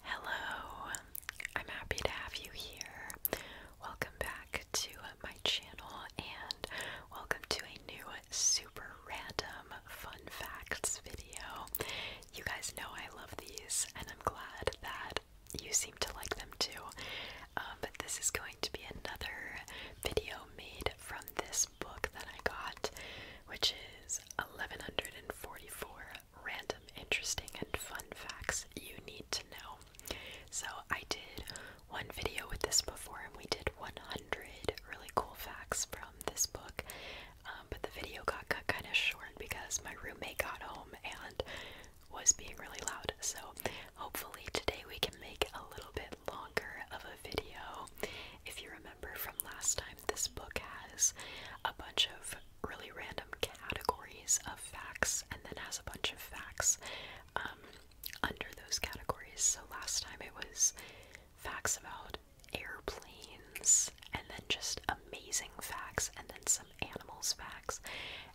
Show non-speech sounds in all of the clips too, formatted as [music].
Hello, I'm happy to have you here. Welcome back to my channel and welcome to a new super random fun facts video. You guys know I love these and I'm glad that you seem to like them too. Um, but this is going to be another video made from this book that I got, which is 1144 random, interesting, and fun facts you need to know. So, I did one video with this before, and we did 100 really cool facts from this book. Um, but the video got cut kind of short because my roommate got home and was being really loud. So, hopefully, today we can make a little bit longer of a video. If you remember from last time, this book has a bunch of really random categories of facts and then has a bunch of facts um, under those categories. So last time it was facts about airplanes and then just amazing facts and then some animals facts.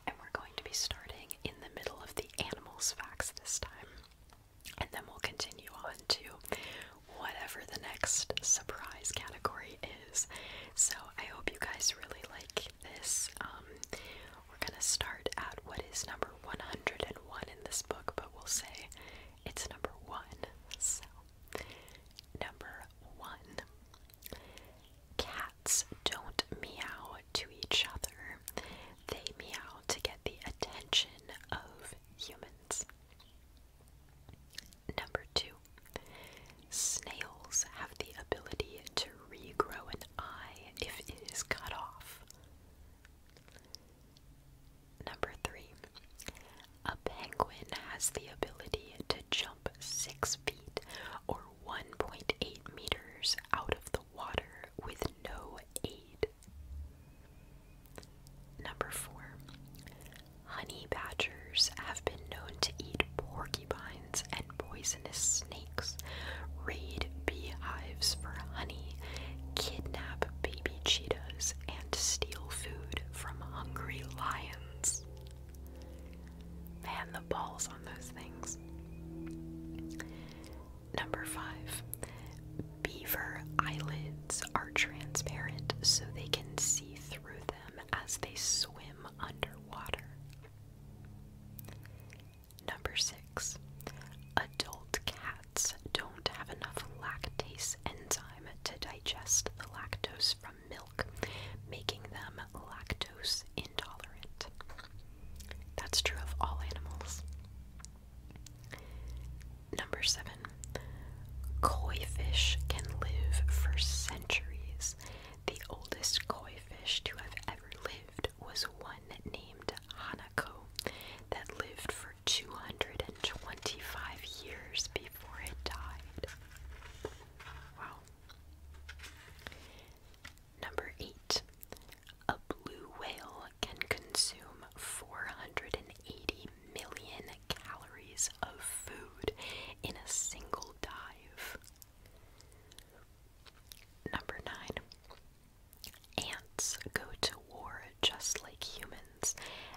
And we're going to be starting in the middle of the animals facts this time. And then we'll continue on to whatever the next surprise category is. So I hope you guys really like this. Um, we're gonna start at what is number 101 in this book, but we'll say it's number one. So, number one cats don't meow to each other, they meow to get the attention of humans. Number two, snails have the ability to regrow an eye if it is cut off. Number three, a penguin has the ability to jump six feet or 1.8 meters out of the water with no aid. Number four, Honey badgers have been known to eat porcupines and poisonous snakes, raid beehives for honey, kidnap baby cheetahs, and steal food from hungry lions. Man, the balls on those things. Number five, beaver eyelids are transparent so they can see through them as they swim underwater. Number six, adult cats don't have enough lactase enzyme to digest the lactose from milk, making them lactose intolerant. That's true of all animals. Number seven, koi fish can live for centuries the oldest koi fish to have ever lived was one named Hanako that lived for 225 years before it died. Wow. Number 8. A blue whale can consume 480 million calories of food in a single dive. Number 9. Ants go to war just like humans,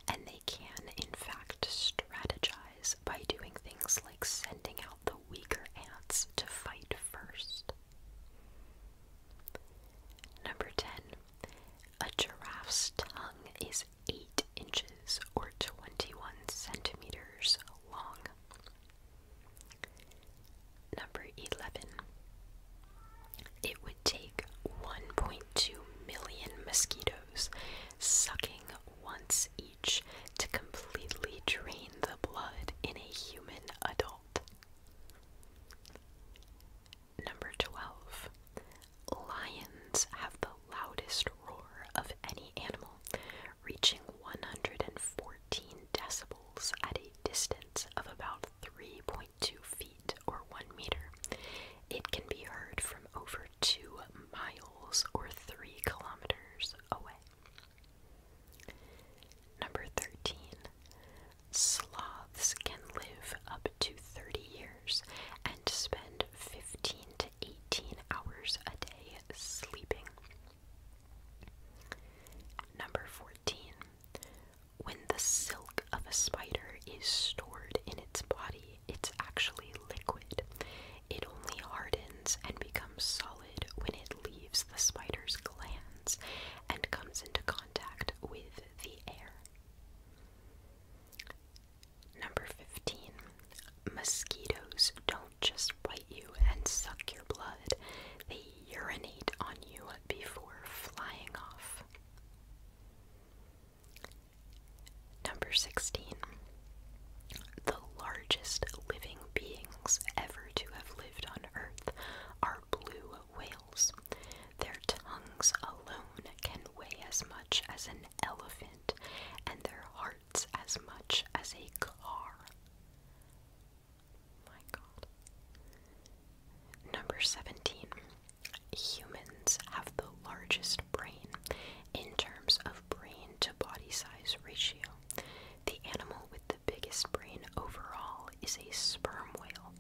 and they can, in fact, strategize by doing things like sending out the weaker ants to fight first. Number 10. A giraffe's tongue is 8 inches or 21 centimeters long. Number 11. It would take 1.2 million mosquitoes sucking once each to completely drain the blood in a human adult. Number 12. Lions have the loudest roar of any animal, reaching 114 decibels at a distance of about 3.2 feet or 1 meter. It can be heard from over 2 miles or 3 kilometers away. Number 13. Sloths can live up to 30 years, spend 15 to 18 hours a day sleeping. Number 14. When the silk of a spider is stored in its body, it's actually liquid. It only hardens and becomes solid when it leaves the spider's glands and comes into contact with the air. Number 15. Mosquitoes don't just bite you and suck your blood, they urinate on you before flying off. Number 16. The largest living beings ever to have lived on Earth are blue whales. Their tongues alone can weigh as much as an elephant, and their hearts as much as a car. My god. Number 17. Humans have the largest brain in terms of brain to body size ratio. The animal with the biggest brain overall is a sperm whale,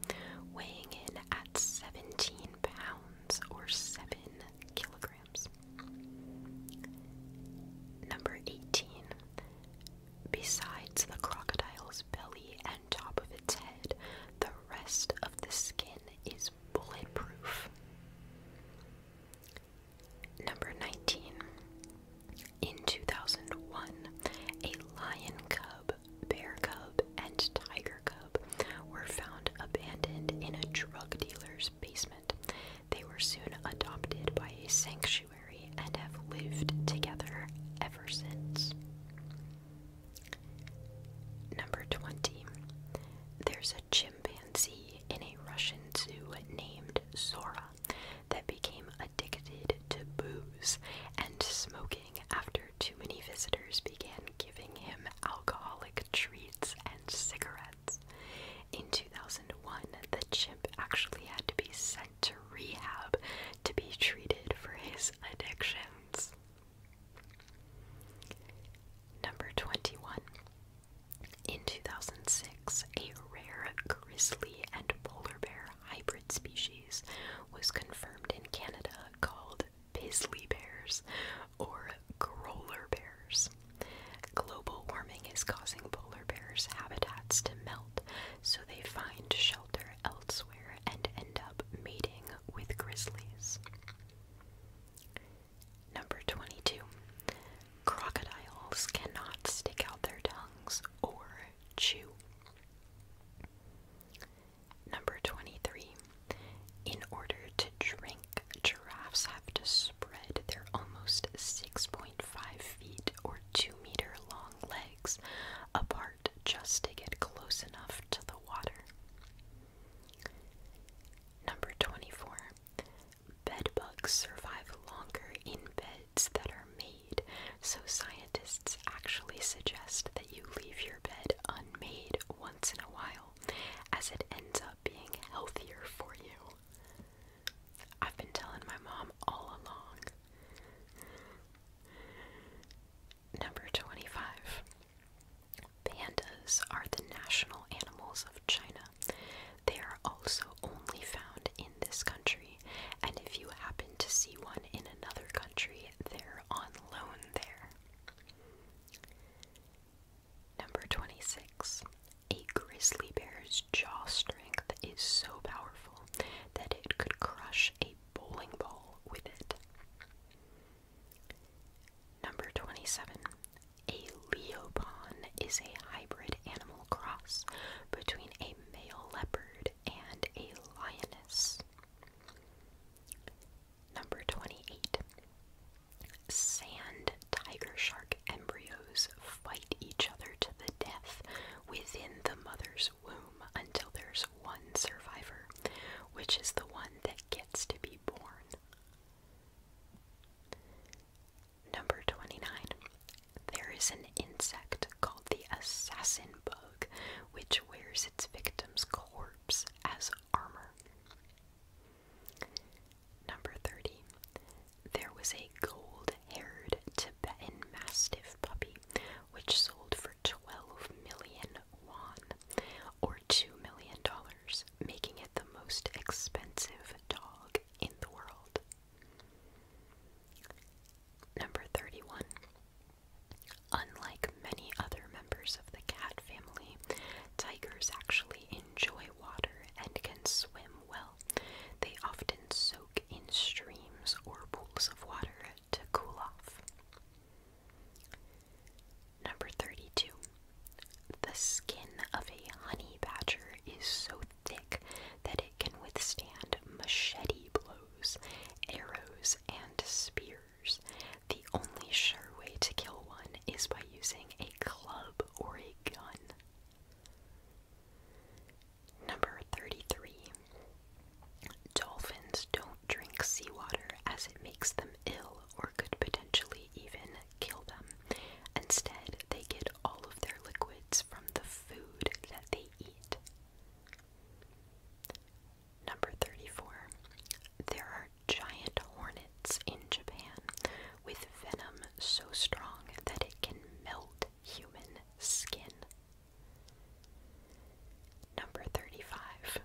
weighing in at 17 pounds or 7 kilograms. Number 18. Besides the crocodile's belly and top of its head, the rest of the skin is bulletproof. Number 19. In 2001, a lion cub, bear cub, and tiger cub were found abandoned in a drug dealer's basement. They were soon adopted by a sanctuary and have lived together ever since. Number 20. There's a chimpanzee in a Russian zoo named Zora that became addicted to booze and smoking after too many visitors began giving him alcoholic treats and cigarettes. In 2001, the chimp actually had to be sent to rehab to be treated for his addictions. Number 21. In 2006, a rare grizzly and polar bear hybrid species was confirmed in Canada called pizzly bears, or growler bears. Global warming is causing polar bears' habitats to melt, so they find shelter elsewhere and end up mating with grizzlies. Number 22. Crocodiles cannot stick out their tongues or chew. Number 23. In order to drink giraffes have to spread their almost 6.5 feet or 2 meter long legs apart just to get close enough to the water. Number 24. Bedbugs survive longer in beds that are made, so scientists actually suggest that you leave your bed unmade once in a while, as it ends up being healthier for you. I've been telling my mom all along. Number 25. Pandas are the national animals of China. They are also only found in this country, and if you happen to see one in another country, they're on loan there. Number 26. A grizzly bear's jaw strength is so powerful that it could crush a bowling ball with it. Number 27. A leopon is a hybrid animal cross between a male leopard and a lioness. Number 28. Sand tiger shark embryos fight each other to the death within the mother's womb until there's one survivor, which is the one that gets to be born. Number 29. There is an insect called the assassin bug, which wears its victim's corpse as armor. Number 30. There was a gold haired Tibetan Mastiff puppy which sold for 12 million won, or $2 million, making it the most expensive dog in the world. Number 31. Unlike many other members of the cat family, tigers actually enjoy water and can swim well they often soak in streams or pools of water to cool off. Number 32. The skin of a honey badger is so thick that it can withstand machete blows, arrows, and spears. The only sure way to kill one is by using a club or a gun. Number 33. Dolphins don't drink seawater as it makes them ill or could potentially even kill them. Instead, they get all of their liquids from the food that they eat. Number 34. There are giant hornets in Japan with venom so strong that it can melt human skin. Number 35.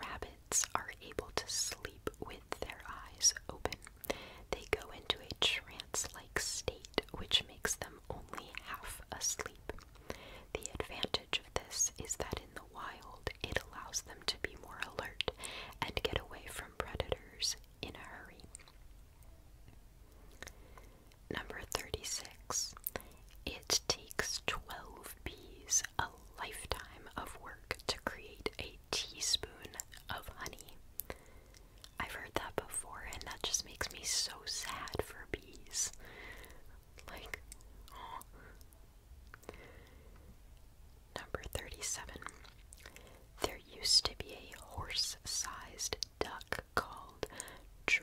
Rabbits are able to sleep with their eyes open. They go into a trance like state which makes them only half asleep. The advantage of this is that in the wild it allows them to be more alert and get away from predators in a hurry. Number 36. It takes 12 bees a lifetime of work to create a teaspoon of honey. I've heard that before, and that just makes me so sad for bees. Like, oh. Number 37. There used to be a horse sized duck called Dromornithidae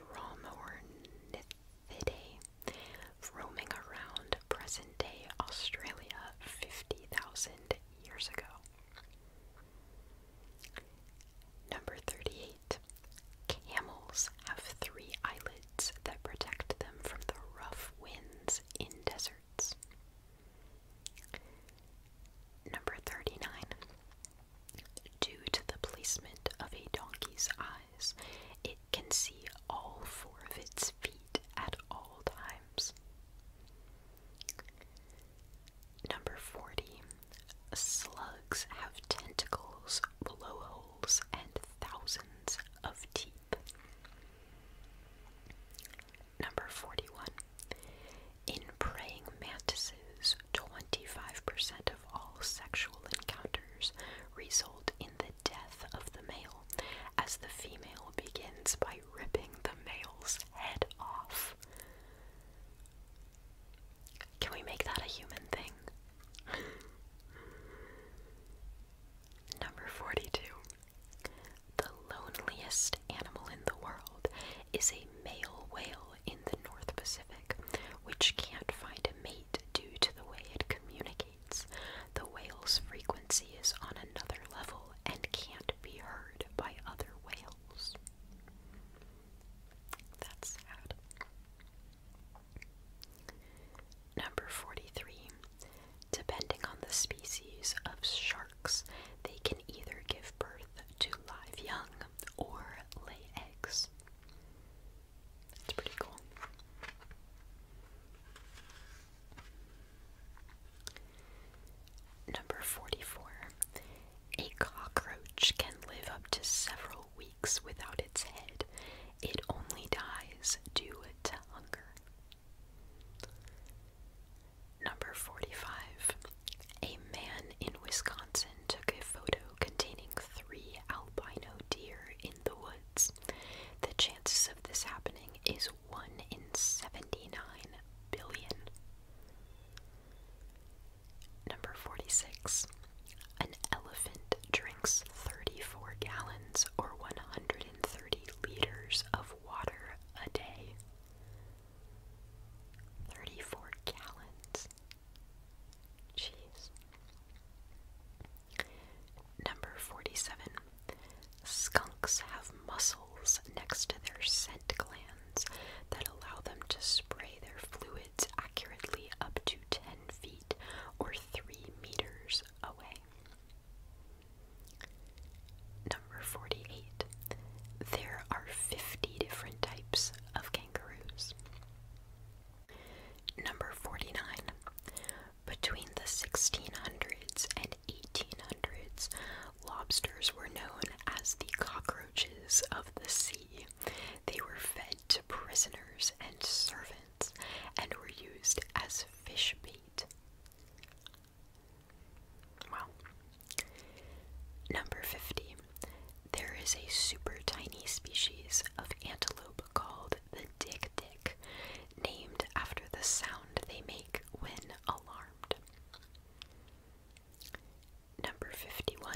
roaming around present day Australia 50,000 years ago. Number 38. Camels have three eyelids that protect them from the rough winds in deserts. Number 39. Due to the placement of a donkey's eyes, it can see all four of its feet at all times. Number 40. Slugs have tentacles, blowholes, and thousands of teeth. Number 41. In praying mantises, 25% of all sexual encounters result in the death of the male, as the female begins by ripping the male's head off. Can we make that a human thing? [laughs] Number 42. The loneliest animal in the world is a male whale in the North Pacific, which can't find a mate due to the way it communicates. The whale's frequency is on another level and can't be heard by other whales. That's sad. Number 43. Depending on the species of shark, they can either give birth to live young or lay eggs. It's pretty cool. Number 44. A cockroach can live up to several weeks without its head. It only dies due to hunger. Number 45. A man in Wisconsin took a photo containing three albino deer in the woods. The chances of this happening is 1 in 79 billion. Number 46. An elephant drinks 34 gallons or 130 liters of water a day. Thirty-four gallons. Jeez. Number forty-seven. Skunks have muscles next to their scent glands that allow them to spray their fluids accurately up to 10 feet or 3 meters away. Number 48. There are 50 different types of kangaroos. Number 49. Between the 1600s and 1800s, lobsters were known as the cockroaches of the sea. They were fed to prisoners and servants and were used as fish bait. Wow. Number 50. There is a super tiny species of antelope called the dick dick, named after the sound they make when alarmed. Number 51.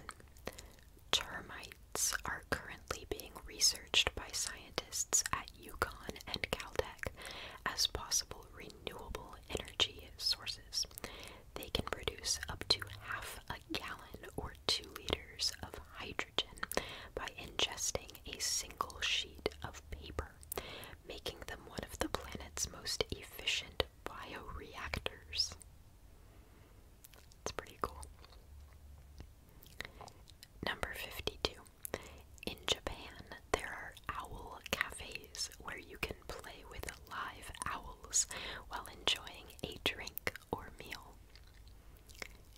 Termites are currently being researched by scientists at UConn and Caltech as possible renewable energy sources. They can produce up to half a gallon or 2 liters of hydrogen by ingesting a single sheet of paper, making them one of the planet's most efficient bioreactors. That's pretty cool. Number 52. In Japan, there are owl cafes where you can play with live owls while enjoying a drink or meal.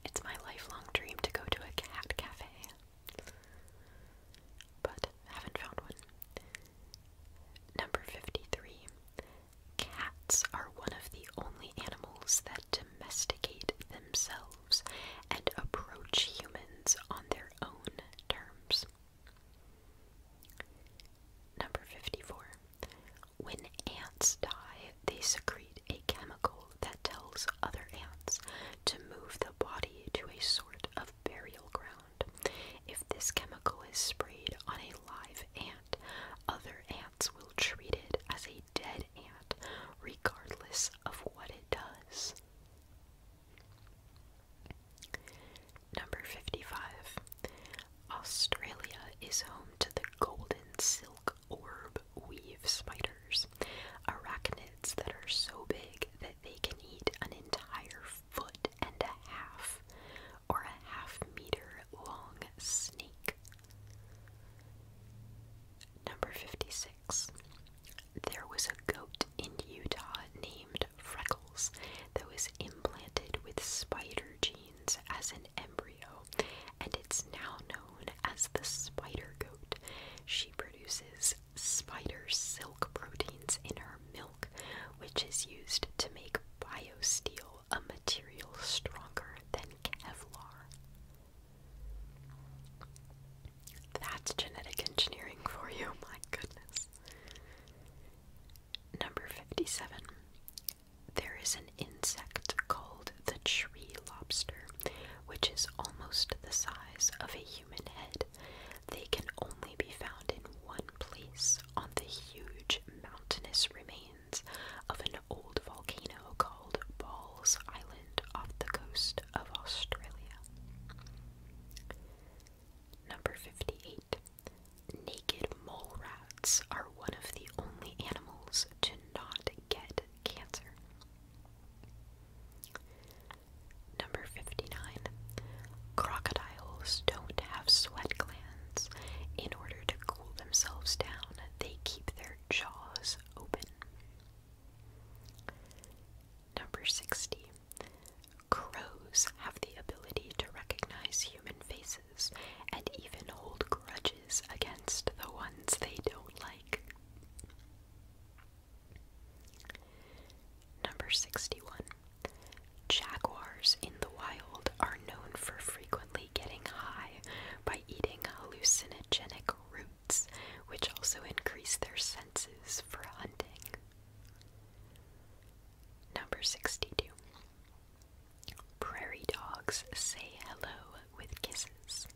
It's my lifelong dream to go to a cat cafe, but haven't found one. Number 53. Cats are one of the only animals that domesticate themselves and approach humans on their own terms. Number 54. When ants die, they secrete a chemical that tells other ants to move the body to a sort of burial ground. If this chemical is sprayed on a live ant, other ants will treat it as a dead ant, regardless of what it does. Number 55. Australia is home to the golden silk orb weave spiders, arachnids that are so big that they can eat an entire foot and a half or a half meter long snake. Number 56. There was a goat in Utah named Freckles that was implanted with spider genes as an embryo, and it's now known as the spider goat. She produces spider silk proteins in her milk, which is used to make biosteel, a material stronger than Kevlar. That's genetic engineering for you, [laughs] my goodness. Number 57. There is an insect called the tree lobster, which is almost the size of a human head. They can only be found in one place on the huge mountainous remains of an old volcano called Balls Island off the coast of Australia. Number 58. Naked mole rats are one of the only animals to not get cancer. Number 59. Crocodiles don't have sweat glands. In order to cool themselves down, they keep their jaws open. Number 60. Crows have the ability to recognize human faces and even hold grudges against the ones they don't like. Number 61. Jaguars in the wild are known for frequently getting high by eating hallucinogenic roots, which also increase their senses for hunting. Number 62. Prairie dogs say hello with kisses.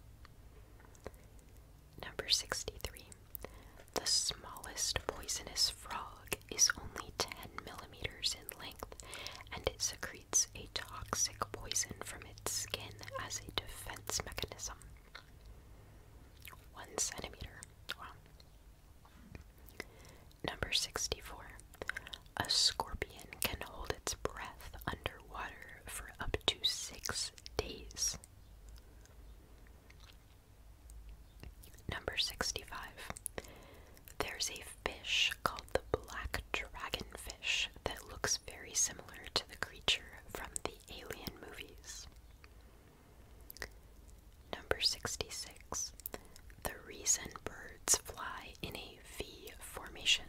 Number 63. The smallest poisonous frog is only 10 millimeters in length and it secretes a toxic poison from its skin as a defense mechanism. One centimeter. Wow. Number 64. A scorpion can hold its breath underwater for up to six days. Number 65. There's a fish called the black dragonfish that looks very similar to the creature from the alien movies. Number 66. The reason birds fly in a V formation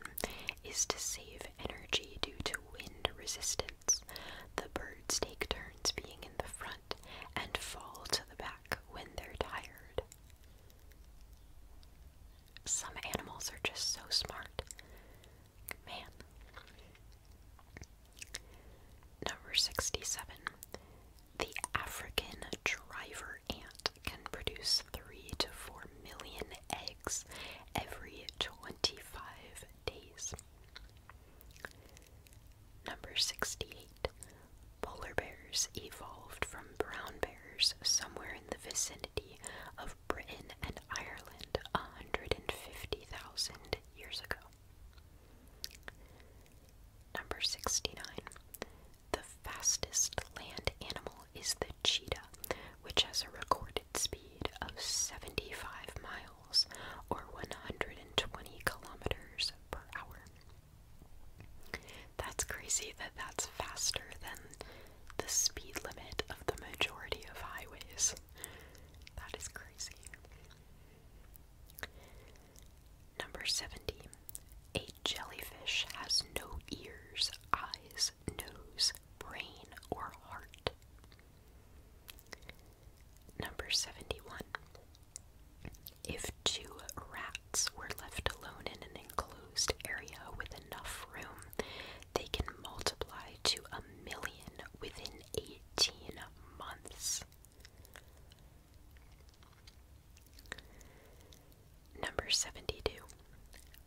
is to save energy due to wind resistance. The birds take turns being in the front and fall to the back when they're tired. Some animals are just so smart. Man. Number 67. The African driver ant can produce 3 to 4 million eggs every 25 days. Number 68. Polar bears evolved from brown bears somewhere in the vicinity of Britain and Ireland 150,000 years ago. Number 69. The fastest land animal is the cheetah, which has a recorded speed of 75 miles or 120 kilometers per hour. That's crazy that that's faster than the speed limit of the majority of highways. That is crazy. Number 70. A jellyfish has no ears, eyes, nose, brain, or heart. Number 71. If two rats were left alone in an enclosed area with enough room, they can multiply to a million within 18 months. Number 72.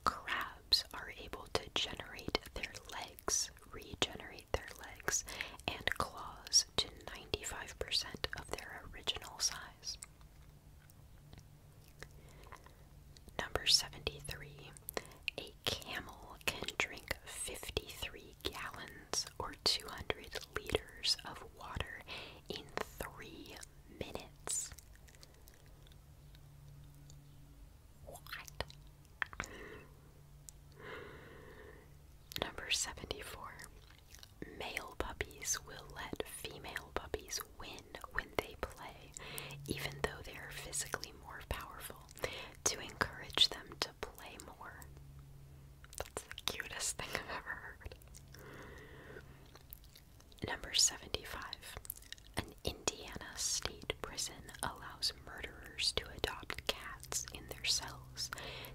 Crabs are able to generate their legs, regenerate their legs, and claws to 95% of their original size. Number 73. A camel can drink 53 gallons or 200 liters of water in three minutes. What? Number 74. Male puppies will let female puppies win when they play, even though they are physically more powerful, to encourage them to play more. That's the cutest thing I've ever heard. Number 75. An Indiana state prison allows murderers to adopt cats in their cells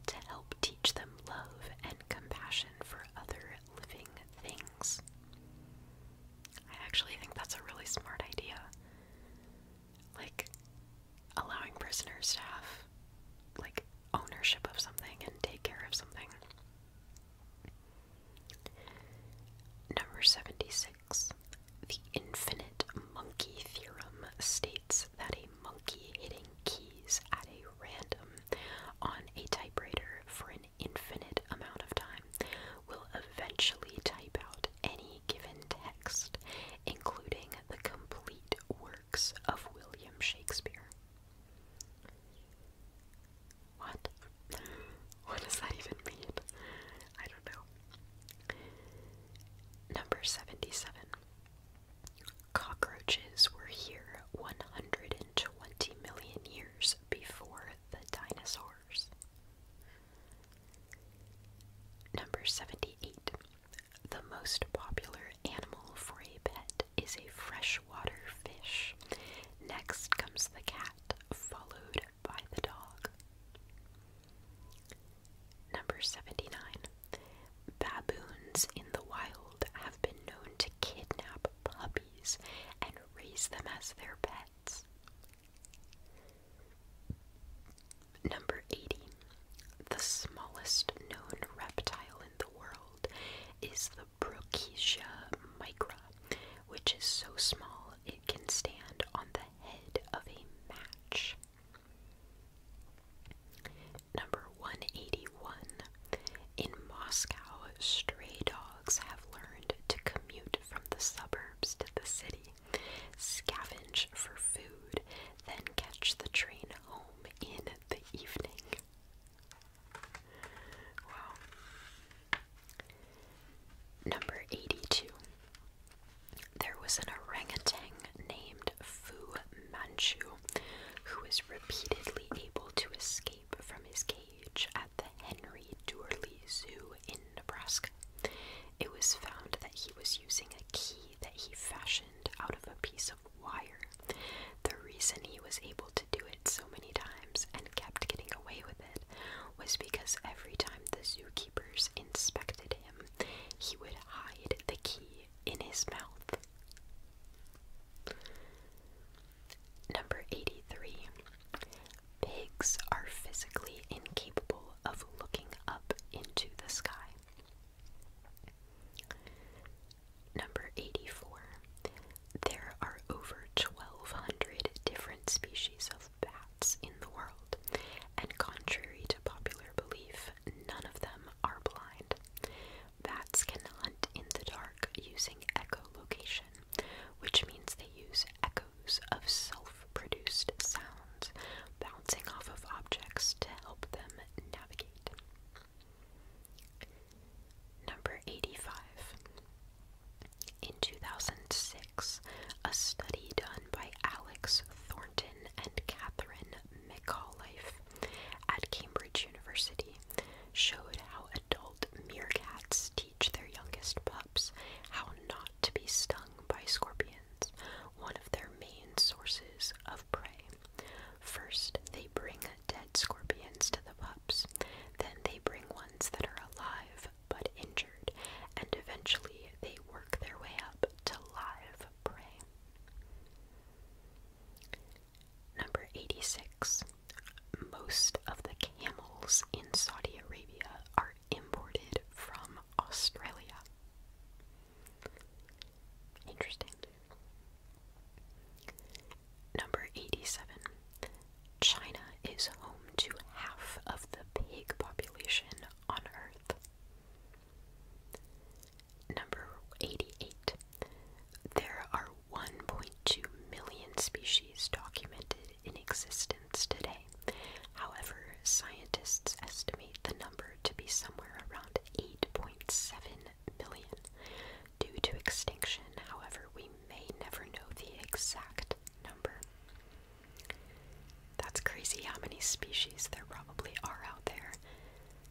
to help teach them love and compassion for other living things. I actually think that's a really smart idea. Like, allowing prisoners to have, like, ownership of something and take care of something. Number 76. The infinite monkey theorem states that a monkey hitting keys at a random on a typewriter for an infinite amount of time will eventually type out any given text, including the complete works of William Shakespeare. What? What does that even mean? I don't know. Number 77. Cockroaches were here 120 million years before the dinosaurs. Number 78. The most popular animal for a pet is a freshwater fish. Next comes the cat, followed by the dog. Number 79. Baboons in the wild have been known to kidnap puppies and raise them as their pets. Number 80. The smallest known reptile the world is the Brookesia micro, which is so small it can stand on the head of a match. Number 181. In Moscow, stray dogs have learned to commute from the suburbs to the city, scavenge for food, then catch the train home in the evening. Number 82. There was an orangutan named Fu Manchu who was repeatedly able to escape from his cage at the Henry Doorley Zoo in Nebraska. It was found that he was using a key that he fashioned out of a piece of wire. The reason he was able to do it so many times and kept getting away with it was because every time the zookeepers inspected him, he would hide the key in his mouth. Number 83. Pigs are physically incapable of looking up into the sky. Number 84. There are over 1,200 different species of bats in the world, and contrary to popular belief, none of them are blind. Bats can hunt in the dark using echolocation, which means they use echoes of self produced sounds bouncing off of objects to help them navigate. Number 85. In 2006, a study done by Alex Thornton and Catherine McAuliffe at Cambridge University showed how adult meerkats teach their youngest pups how not to be stung by scorpions, one of their main sources of prey. First, they bring dead scorpions to the pups. Then they bring ones that are alive but injured, and eventually they work their way up to live prey. Number 86. Most of the camels in Saudi Arabia are imported from Australia. Interesting. Number 87. China is home to half of the pig population on Earth. Number 88. There are 1.2 million species documented in existence today. However, scientists estimate the number to be somewhere around 8.7 million, due to extinction, however, we may never know the exact number. That's crazy how many species there probably are out there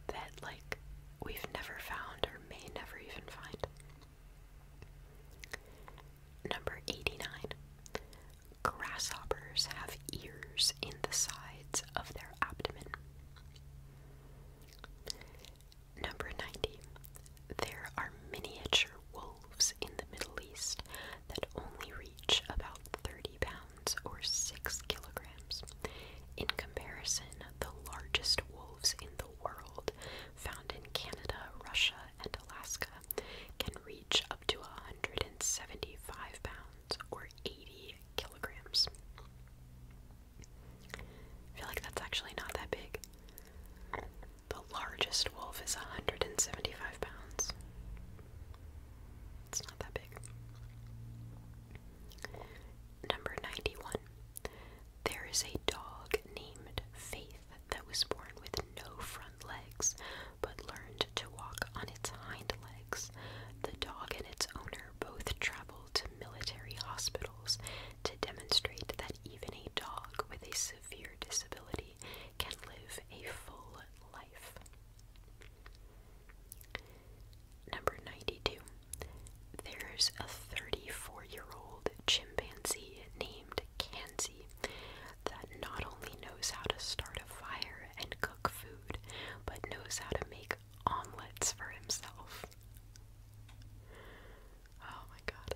that, like, we've never found or may never even find. Number 89. Grasshoppers have ears in the sides of their abdomen. Number 90. There are miniature wolves in the Middle East that only reach about 30 pounds or 6 kilograms. In comparison, the largest wolves in the world, found in Canada, Russia, and Alaska, can reach up to 175 pounds or 80 kilograms. I feel like that's actually not that big. The largest wolf is 175 pounds. It's not that big. Number 91. There is a dog named Faith that was born with no front legs but learned to walk on its hind legs. The dog and its owner both traveled to military hospitals to demonstrate that even a dog with a severe disability can live a full life. Number 92. There's a 34 year old chimpanzee named Kanzi that not only knows how to start a fire and cook food, but knows how to make omelets for himself. Oh my god.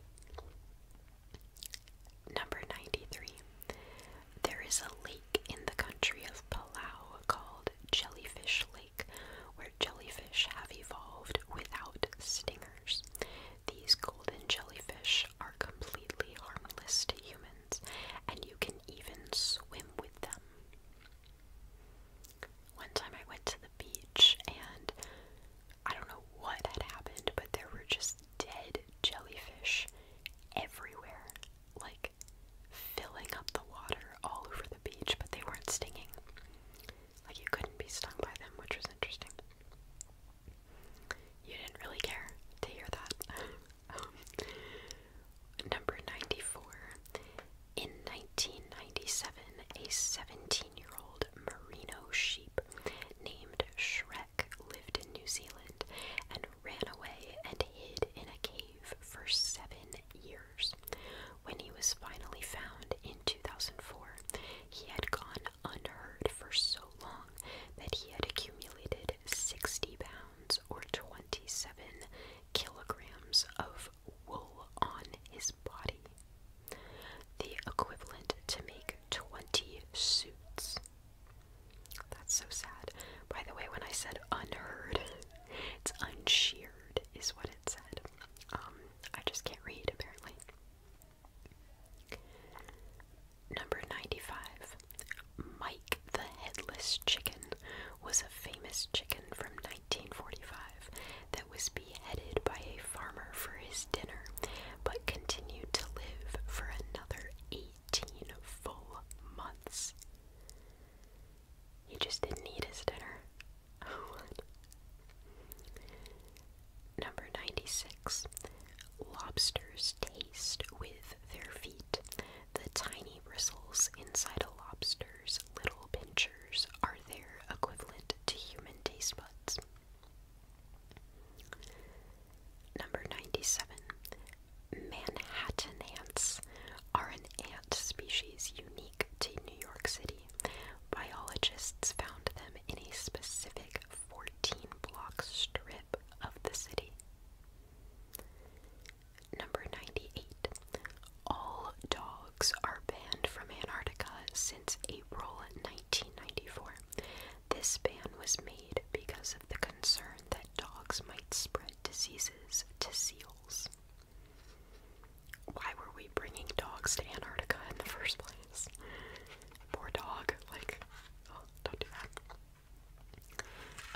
Number 93. There is a lake in the country of Palau called Jellyfish Lake, where jellyfish have evolved without stingers. These golden jellyfish are completely harmless to humans, and you can even swim with them. One time I went to the beach and I don't know what had happened, but there were just dead jellyfish everywhere, like filling up the water all over the beach, but they weren't stinging. Like you couldn't be stung by them, which was interesting. You didn't really care to hear that. [laughs] Um, number 94 in 1997, a 17 year old merino sheep named Shrek lived in New Zealand and ran away and hid in a cave for seven years. When he was finally found in 2004, he had gone unheard for so long that he had accumulated 60 pounds or 27 kilograms of wool on his body, the equivalent to make 20 suits. That's so sad. By the way, when I said unheard, [laughs] it's unsheared, is what it said. Um, I just can't read, apparently. Number 95. Mike the Headless Chicken was a famous chicken from 1945 that was beheaded by a farmer for his dinner, but continued to live for another 18 full months. He just didn't eat his dinner. [laughs] Number 96. Lobsters taste with their feet. The tiny bristles inside a lobster's little pinchers are their equivalent to human taste buds. Number 97. Manhattan ants are an ant species unique to New York City. Biologists found them in a specific 14 block strip of the city. Number 98 all dogs are banned from Antarctica since April 1994. This ban was made because of the concern that dogs might spread diseases to seals. Why were we bringing dogs to Antarctica in the first place? Poor dog. Like, oh, don't do that.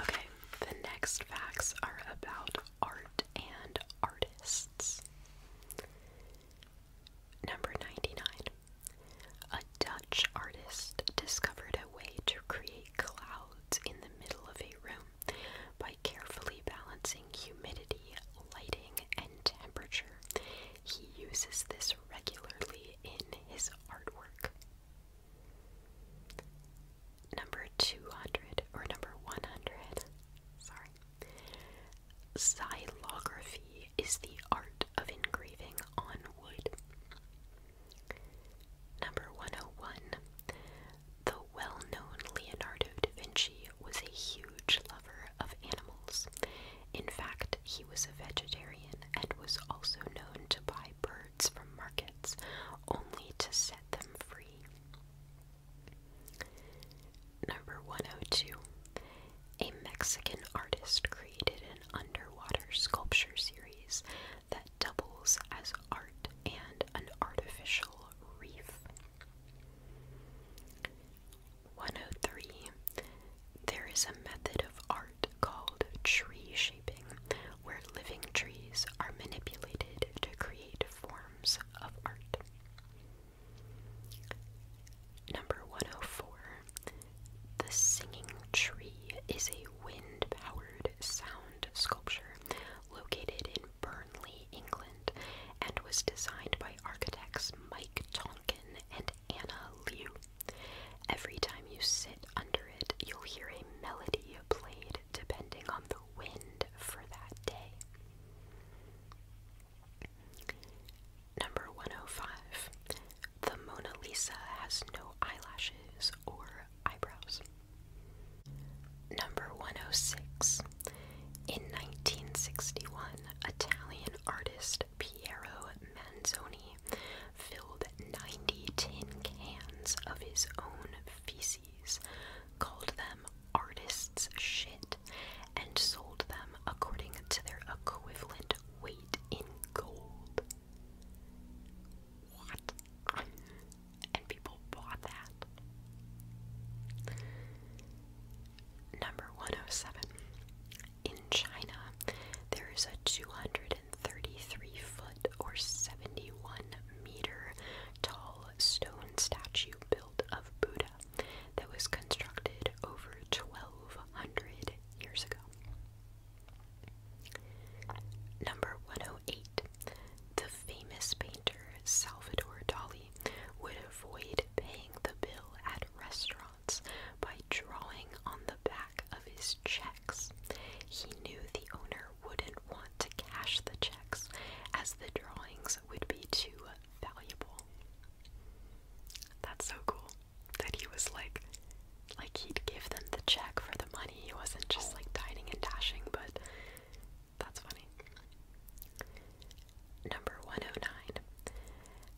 Okay, the next facts are about art and artists. Number 99. A Dutch artist discovered a way to create clouds in the middle of a room by carefully balancing humidity, lighting, and temperature. He uses this regularly in his artwork. Number 200 or number 100. Sorry. Xylography is the art of engraving on wood. Number 101. The well known Leonardo da Vinci was a huge lover of animals. In fact, he was a vegetarian and was also known to buy birds from markets only to set them free. Number 102. A Mexican artist created an underwater sculpture series that doubles as art and an artificial reef. 103. There is a method of art called tree shaping where living trees are manipulated to create forms of art. Number 104. The Singing Tree is a wind powered sound sculpture located in Burnley, England, and was designed by architects Mike Tonkin and Anna Liu. Every time you sit under it, you'll hear a melody played depending on the wind for that day. Number 105. The Mona Lisa has no eyelashes or eyebrows. Number 106. In 1961, Italian artist Piero Manzoni filled 90 tin cans of his own feces called them artists' shit, and sold them according to their equivalent weight in gold. What? And people bought that. Number 107. In China, there is a 233 foot or 71 meter tall stone statue built of Buddha that was constructed over 1200 years ago. Number 108. The famous painter Salvador Dali would avoid paying the bill at restaurants by drawing on the back of his checks. He knew the owner wouldn't want to cash the checks as the drawings would be too valuable. That's so cool that he was like, like he'd give them the check for the money. He wasn't just like dining and dashing, but that's funny. Number 109.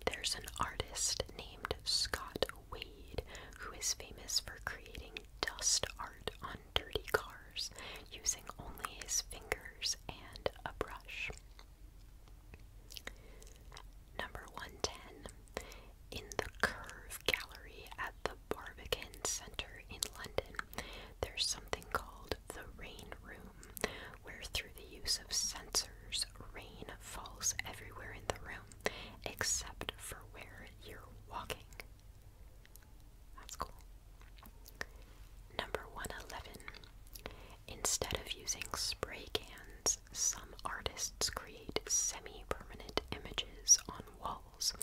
There's an artist named Scott Wade who is famous for creating dust art on dirty cars using only his fingers and a brush. Number 110. In the Curve Gallery at the Barbican Centre in London, there's something called the Rain Room, where through the use of sensors, rain falls everywhere in the room except for where you're walking. That's cool. Number 111. Instead of using spray cans, some artists create semi permanent images on walls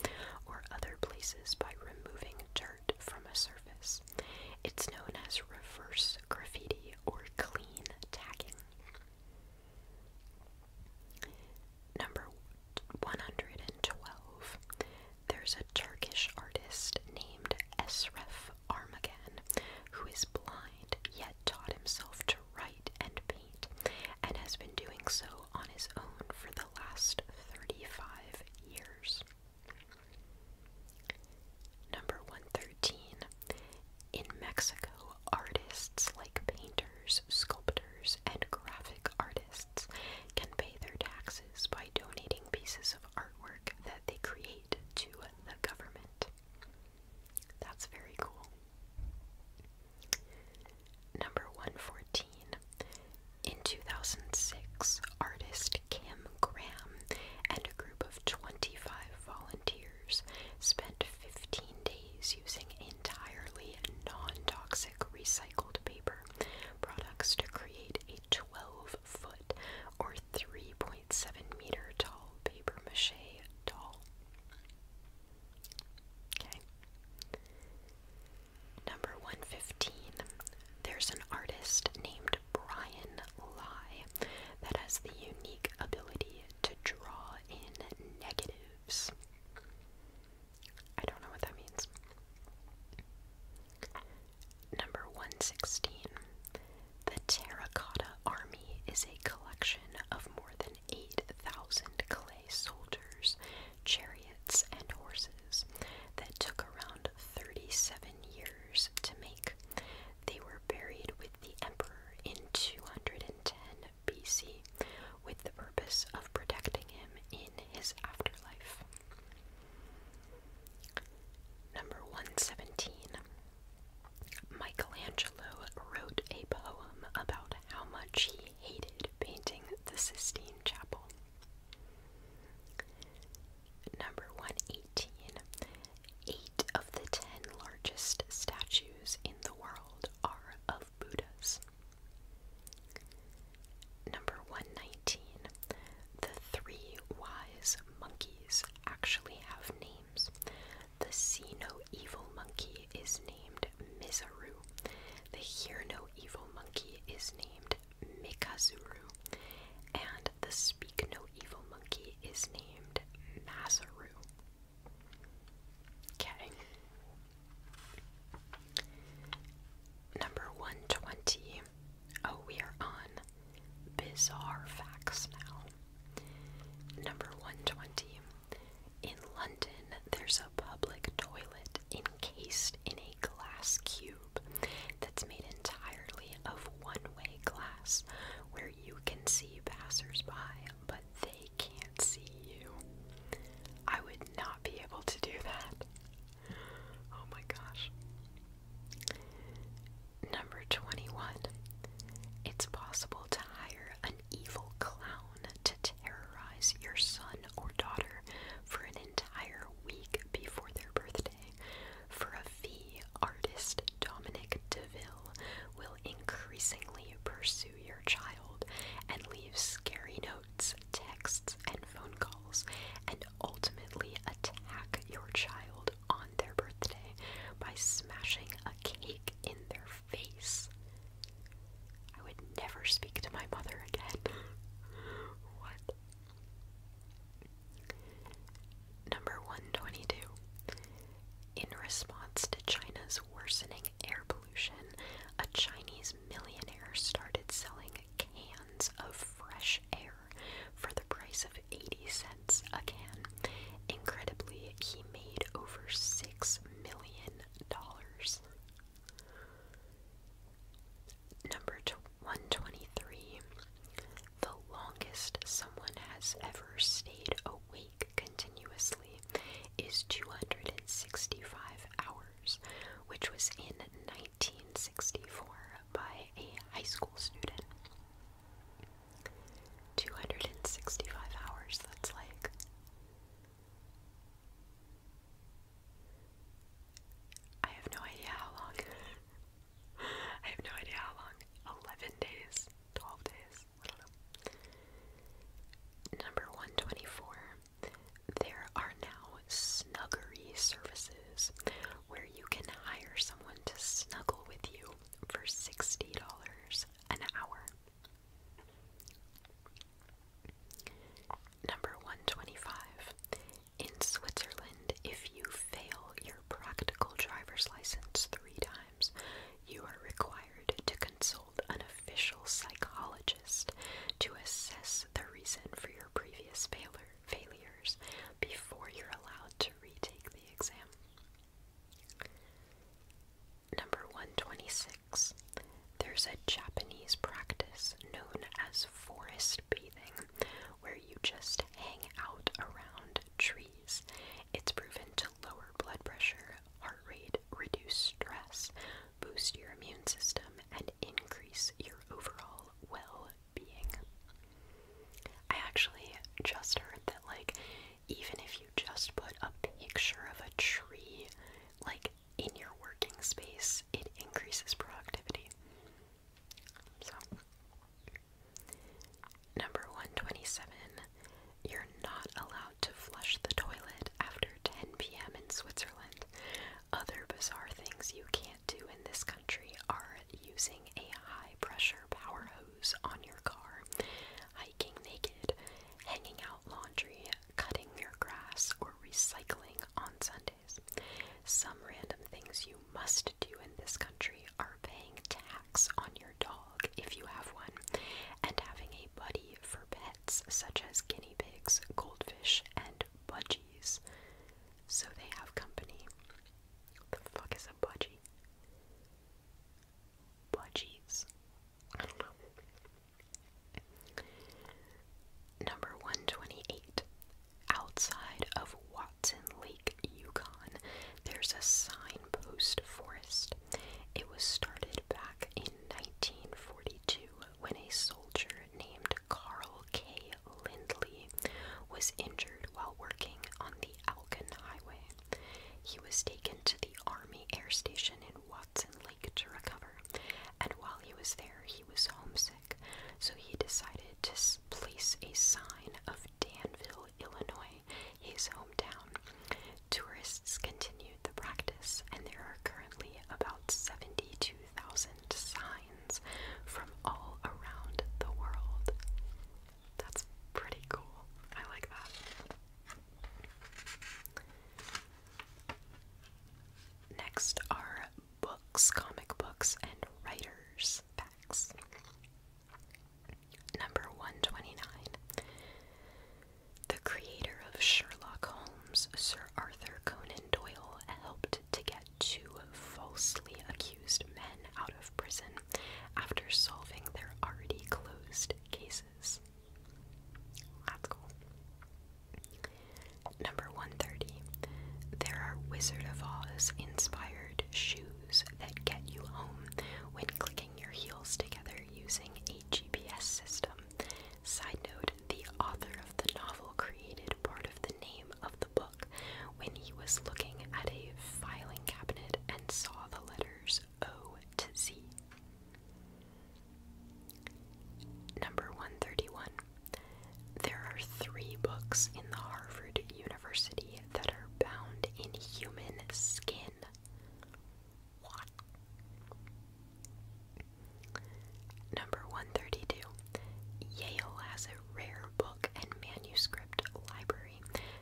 or other places by removing dirt from a surface. It's known as reverse graffiti or clean tagging. Number 112. There's a Turkish artist named Esref Armagan, who is blind yet taught himself to write and paint, and has been doing so on his own for the last 35 years. Number 113. In Mexico, artists like painters, sculptors, and graphic artists can pay their taxes by donating pieces artwork that they create to the government. That's very cool. Number 114. In 2006, artist Kim Graham and a group of 25 volunteers spent 15 days using entirely non toxic recycled paper products to create a 12 foot or 3.7 meter tall paper mache doll. Okay. Number 115. There's an artist named Brian Lai that has the unique ability to draw in negatives. I don't know what that means. Number 116. The Terracotta Army is a collection of more than 8,000 clay soldiers, chariots, and horses that took around 37 years to make. They were buried with the emperor in 210 BC with the purpose of protecting him in his afterlife. Number 117. Michelangelo wrote a poem about how much he hated painting the Sistine Chapel. Number 118. Eight of the ten largest statues in the world are of Buddhas. Number 119. The three wise monkeys actually have names. The see no evil monkey is named Mizaru. The hear no evil monkey is named Mikazuru. And the speak no evil monkey is named Masaru. Okay. Number 120 Oh, we are on bizarre facts now. Number 120. In London, there's a public toilet encased in a glass cube that's made entirely of one way glass where you can see passersby, but they can't see you. I would not be able to do that. Oh my gosh. Number 21. It's possible to hire an evil clown to terrorize your son or daughter for an entire week before their birthday. For a fee, artist Dominic DeVille will increasingly pursue your child and leave scary notes, texts, and phone calls, and ultimately attack your child on their birthday by smashing a cake in their face. I would never speak to my mother again. [laughs] what? Number 122. In response to China's worsening air pollution, a Chinese millionaire started selling cans of fresh air for the price of 80 cents a can. Incredibly, he made over $6 million. Number 123. The longest someone has ever stayed awake continuously is 265 hours, which was in 1964 by a high school student. 265 hours, that's like. I have no idea how long. [laughs] I have no idea how long. 11 days, 12 days, I don't know. Number 124. There are now snuggery services where you can hire someone to snuggle with you for $60 an hour. Number 125. In Switzerland, if you fail your practical driver's license three times, you are required to consult an official psychologist to assess the reason for your previous failures before you're allowed to retake the. Number 126. There's a Japanese practice known as forest bathing where you just hang out around trees. It's proven to lower blood pressure, heart rate, reduce stress, boost your immune system, and increase your overall well being. I actually just heard that, like, even if you just put a picture of a tree, like, in your working space, it increases productivity. So, number 127, you're not allowed to flush the toilet after 10 p.m. in Switzerland. Other bizarre things you can't do in this country country are using a high pressure power hose on your car, hiking naked, hanging out laundry, cutting your grass, or recycling on Sundays. Some random things you must do in this country are paying tax on your dog if you have one, and having a buddy for pets such as guinea pigs, goldfish, and budgies. So they have company. What the fuck is a budgie? Budgies. Number 128. Outside of Watson Lake, Yukon, there's a signpost forest. It was started back in 1942 when a soldier named Carl K. Lindley was injured while working on the the Highway. He was taken to the Army Air Station in Watson Lake to recover, and while he was there, he was homesick, so he decided to place a sign of Danville, Illinois, his hometown. Tourists continued the practice, and there are currently about 72,000 signs from all around the world. That's pretty cool. I like that. Next are books, comic books, and writers' facts. Number 129. The creator of Sherlock Holmes, Sir Arthur Conan Doyle, helped to get two falsely accused accused men out of prison after solving their already closed cases. That's cool. Number 130. There are Wizard of Oz inspired shoes that get you home when clicking your heels together using a GPS system. Side note the author of the novel created part of the name of the book when he was looking at a filing cabinet and saw the letters O to Z. Number 131. There are three books in the Harvard University that are bound in human skin. What? Number 132. Yale has a rare book and manuscript library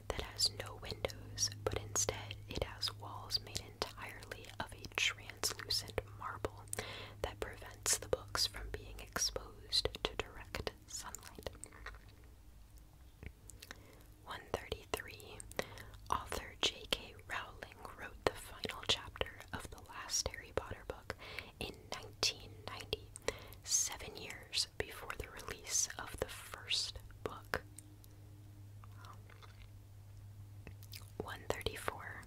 that has no windows, but instead it has walls made entirely of a translucent marble that prevents the books from being exposed to direct sunlight. 133. Author J.K. Rowling wrote the final chapter of the last Harry Potter book in 1990, seven years before the release of the first book. 134.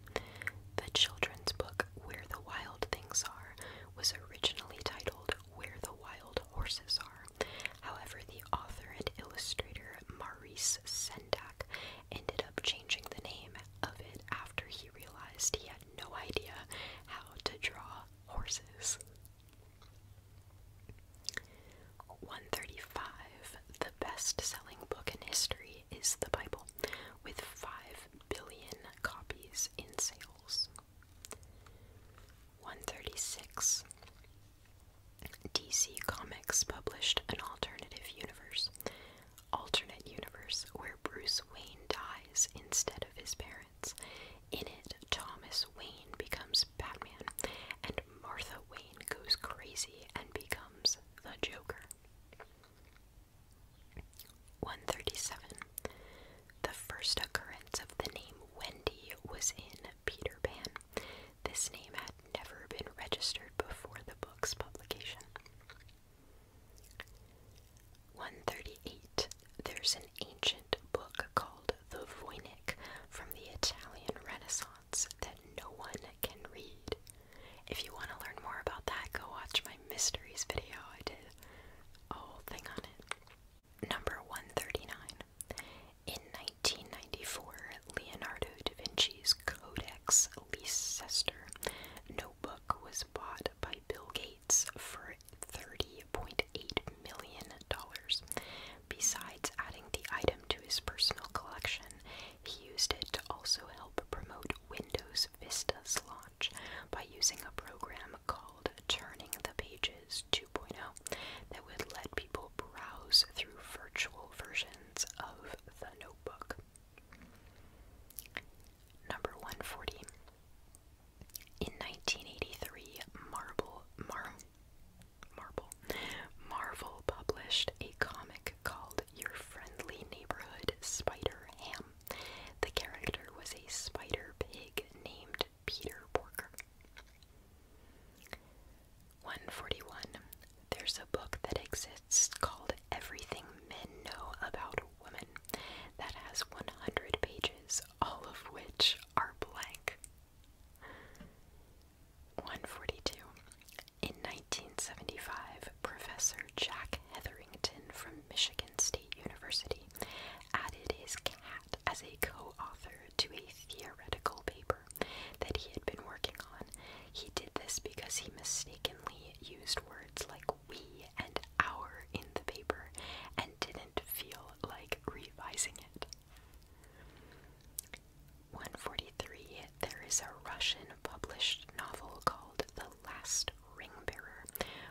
The children's book Where the Wild Things Are was originally titled Where the Wild Horses Are. However, the author and illustrator Maurice Sendak ended up changing the name of it after he realized he had no idea how to draw horses. 135. The best selling book in history is the Bible, with 5 billion copies in sales. 136. DC Comics published an alternate universe, alternate universe where Bruce Wayne dies instead of his parents. In it, Thomas Wayne becomes Batman, and Martha Wayne goes crazy and becomes the Joker. 137. The first occurrence of the name Wendy was in Peter Pan. This name had never been registered before the book's publication. 138 there's an ancient book called the Voynich from the Italian Renaissance that no one can read. If you want to learn more about that, go watch my mysteries video. I did oh, a whole thing on it. Number 139. In 1994, Leonardo da Vinci's Codex Leicester notebook was bought by Bill Gates for 30 $3.8 million. Besides adding the item to his personal collection, he used it to also help promote Windows Vista's launch by using a program called Turning the Pages 2.0 that would let people browse through virtual versions of the notebook. Number 140. In 1983, Marvel, Mar Marvel, Marvel published a comic called Your Friendly Neighborhood Spider Ham. The character was a spider pig named Peter Porker. 141. There's a book that exists called Everything Men Know About Women that has 100 pages, all of which are blank. 142. In 1975, Professor Jack Hetherington from Michigan State University added his cat as a co author to a theoretical paper that he had been working on. He did this because he mistakenly used words like we and our in the paper and didn't feel like revising it. 143. There is a Russian published novel called The Last Ring Bearer,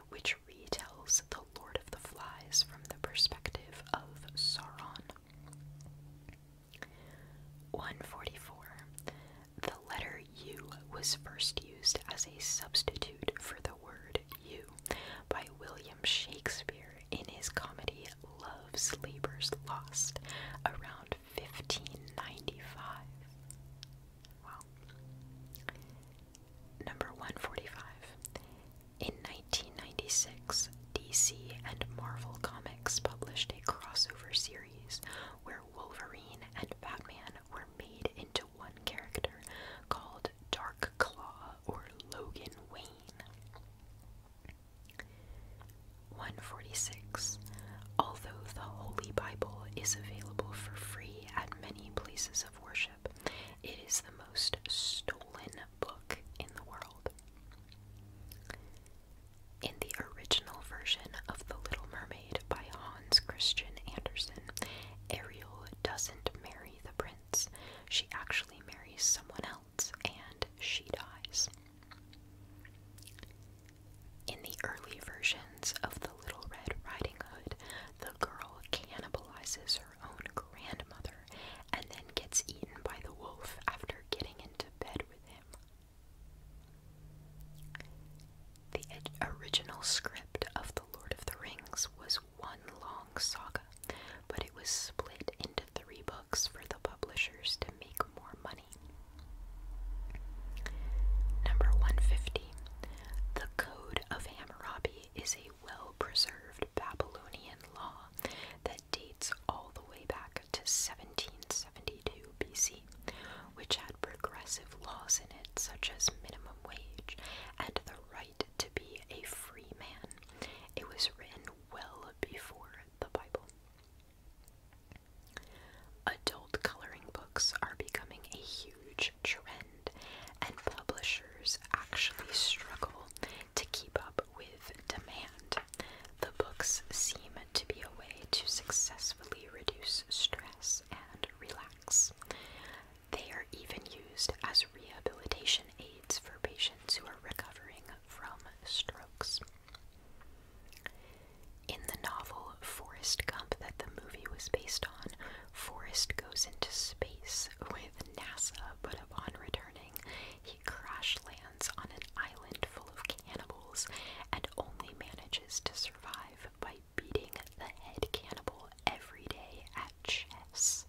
which retells The Lord of the Flies from the perspective of Sauron. 144. The letter U was first used as a substitute for the word you by William Shakespeare in his comedy *Love's Sleepers Lost around 1595. Wow. Number 145. In 1996, DC and Marvel Comics published a crossover series where Wolverine and Batman were made into one character called Dark Claw or Logan Wayne. 146. Although the Holy Bible is available for free at many places of worship, it is the most stolen book in the world. In the original version of The Little Mermaid by Hans Christian Andersen, Ariel doesn't marry the prince. She actually marries someone else and she dies. In the early versions of The Little Red Riding Hood, the girl cannibalizes her own grandmother and then gets eaten by the wolf after getting into bed with him. The original script of The Lord of the Rings was one long saga, but it was split into three books for the publishers to make more money. Number 150. The Code of Hammurabi is a well preserved Babylonian law that dates all the way back to 1772 BC, which had progressive laws in it, such as minimum wage and the right to be a free man. It was written well before the Bible. Adult coloring books are becoming a huge trend, and publishers actually struggle to keep up with demand. The books seem to be a way to successfully reduce stress and relax. They are even used as rehabilitation aids for patients who are recovering from strokes. In the novel *Forest Gump, that the movie was based on, Forrest goes into space with NASA, but upon returning, he crash lands on an island full of cannibals and only manages to survive by beating the head cannibal every day at chess.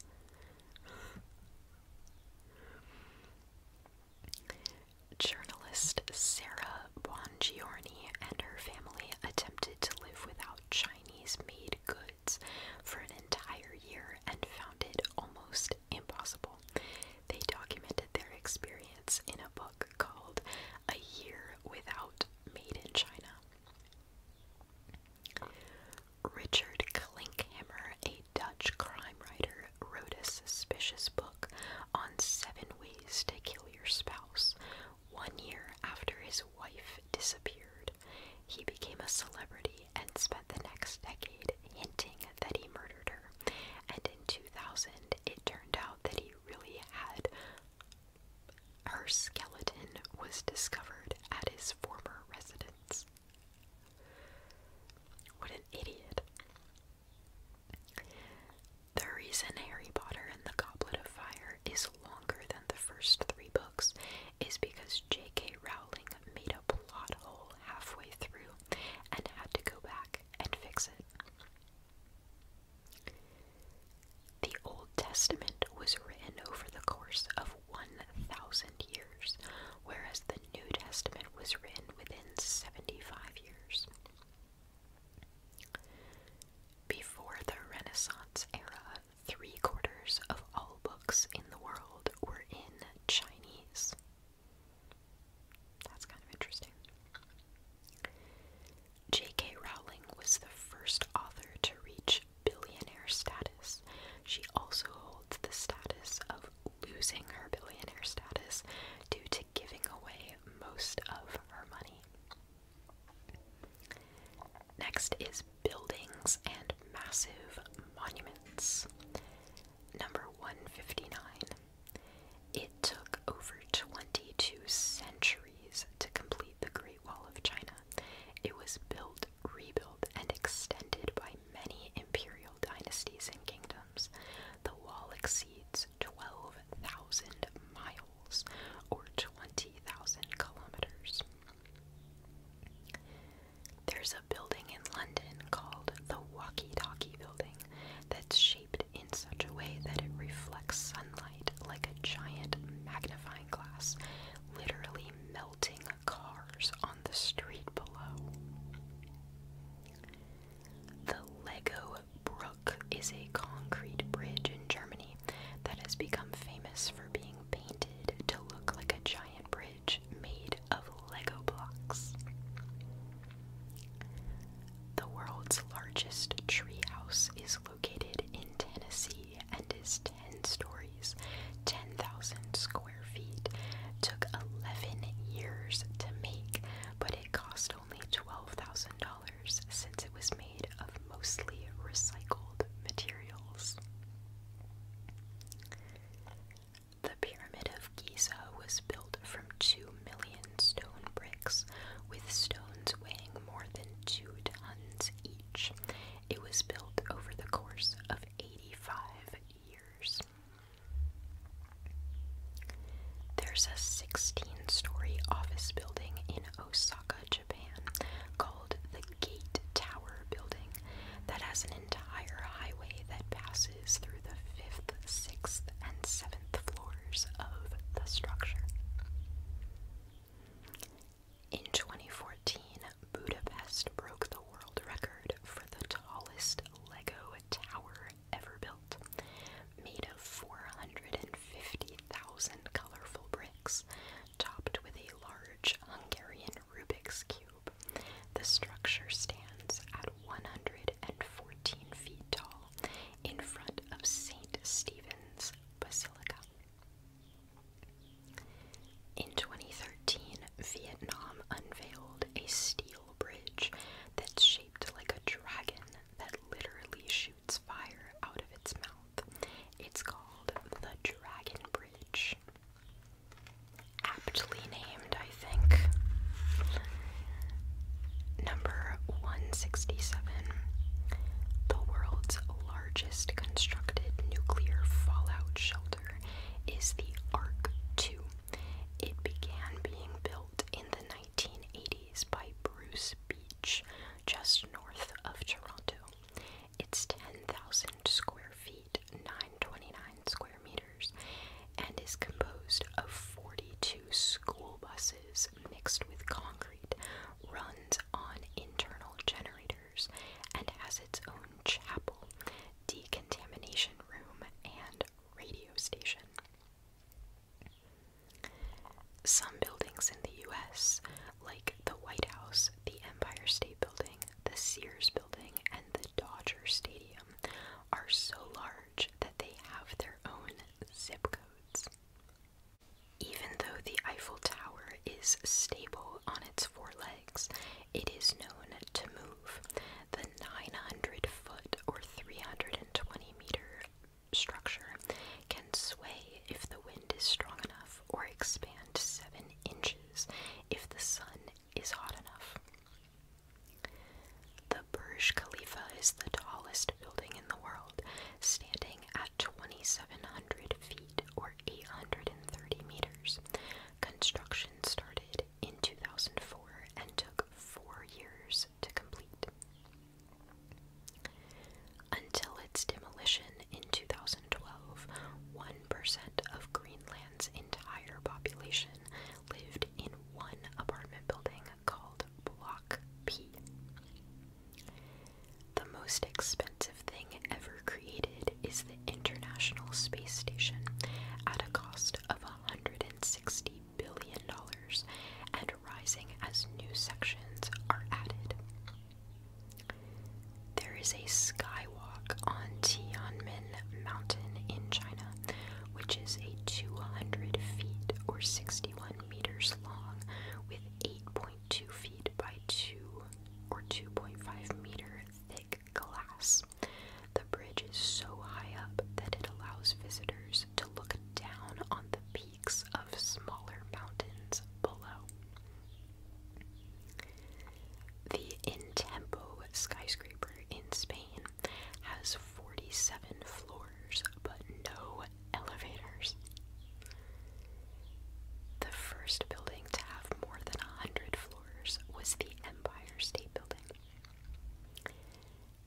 Journalist Sarah Bongiorni and her family attempted to live without Chinese made goods for an entire year and found it almost impossible. They documented their experience in a book called A Year Without Made in China. Richard Klinkhammer, a Dutch crime writer, wrote a suspicious book on seven ways to kill your spouse. One year after his wife disappeared, he became a celebrity and spent the next decade hinting that he murdered her. And in 2000, it turned out that he really had. Her skeleton was discovered at his former residence. What an idiot. The reason Harry Potter and the Goblet of Fire is longer than the first three books is because J.K. Rowling made a plot hole halfway through and had to go back and fix it. The Old Testament was written over the course of 1,000 years, whereas the New Testament was written within 75 years. Before the Renaissance era, three quarters of all books in the world were in Chinese. That's kind of interesting. J.K. Rowling was the first author to reach billionaire status. She also holds the status of losing her billionaire status due to giving away most of her money. Next is buildings and massive monuments. Number 159. It took over 22 centuries to complete the Great Wall of China. It was built rebuilt, and extended by many imperial dynasties and kingdoms, the wall exceeds 12,000 miles or 20,000 kilometers. There's a building in London called the Walkie Talkie Building that's shaped in such a way that it reflects sunlight like a giant magnifying glass, literally melting the cars on the street below. The Lego Brook is a concrete bridge in Germany that has become famous for being painted to look like a giant bridge made of Lego blocks. The world's largest treehouse is located in Tennessee and is 10 stories 10,000 square feet, took 11 years to make, but it cost only $12,000 since it was made of mostly recycled materials. The Pyramid of Giza was built from 2 million stone bricks, with stones weighing more than 2 tons each. It was built over the course of 85 years. There's a 16 story office building in Osaka, Japan, called the Gate Tower Building, that has an entire highway that passes through the fifth, sixth, and seventh floors of the structure. In 2014, Budapest broke the world record for the tallest Lego tower ever built, made of 450,000 colorful bricks, topped with a large Hungarian Rubik's Cube. The structure stands at 114 feet tall in front of St. Stephen's Basilica. In 2013, Vietnam unveiled a steel bridge that's shaped like a dragon that literally shoots fire out of its mouth. It's called the Dragon Bridge. Aptly named, I think. Number 167. The world's largest constructed nuclear fallout shelter is the ARC 2 it began being built in the 1980s by Bruce Beach, just north of Toronto. It's 10,000 square feet, 929 square meters, and is composed of 42 school buses mixed with concrete, runs on internal generators, and has its own chapel decontamination room, and radio station. Some buildings in the US, like the White House, the Empire State Building, the Sears Building, and the Dodger Stadium, are so large that they have their own zip codes. Even though the Eiffel Tower is stable on its four legs, it is known to move. The 900 foot or 320 meter structure can sway if the wind is strong enough or expand 7 inches if the sun is hot enough. The Burj Khalifa is the tallest building in the world, standing at 2,700 feet or 830 meters. Construction started in 2004 and took four years to complete. Until its demolition in 2012, 1% of Greenland's entire population lived in one apartment building called Block P. The most expensive thing ever created is the International Space Station at a cost of $160 billion and rising as new sections are added. There is a skywalk on Tianmen Mountain in China, which is a 200 feet or 61 meters long with 8.2 feet by 2 or 2.5 meter thick glass. The bridge is so high up that it allows visitors to look down on the peaks of smaller mountains below. The Intempo skyscraper in Spain has 47 floors but no elevators. The first building to have more than 100 floors was the Empire State Building.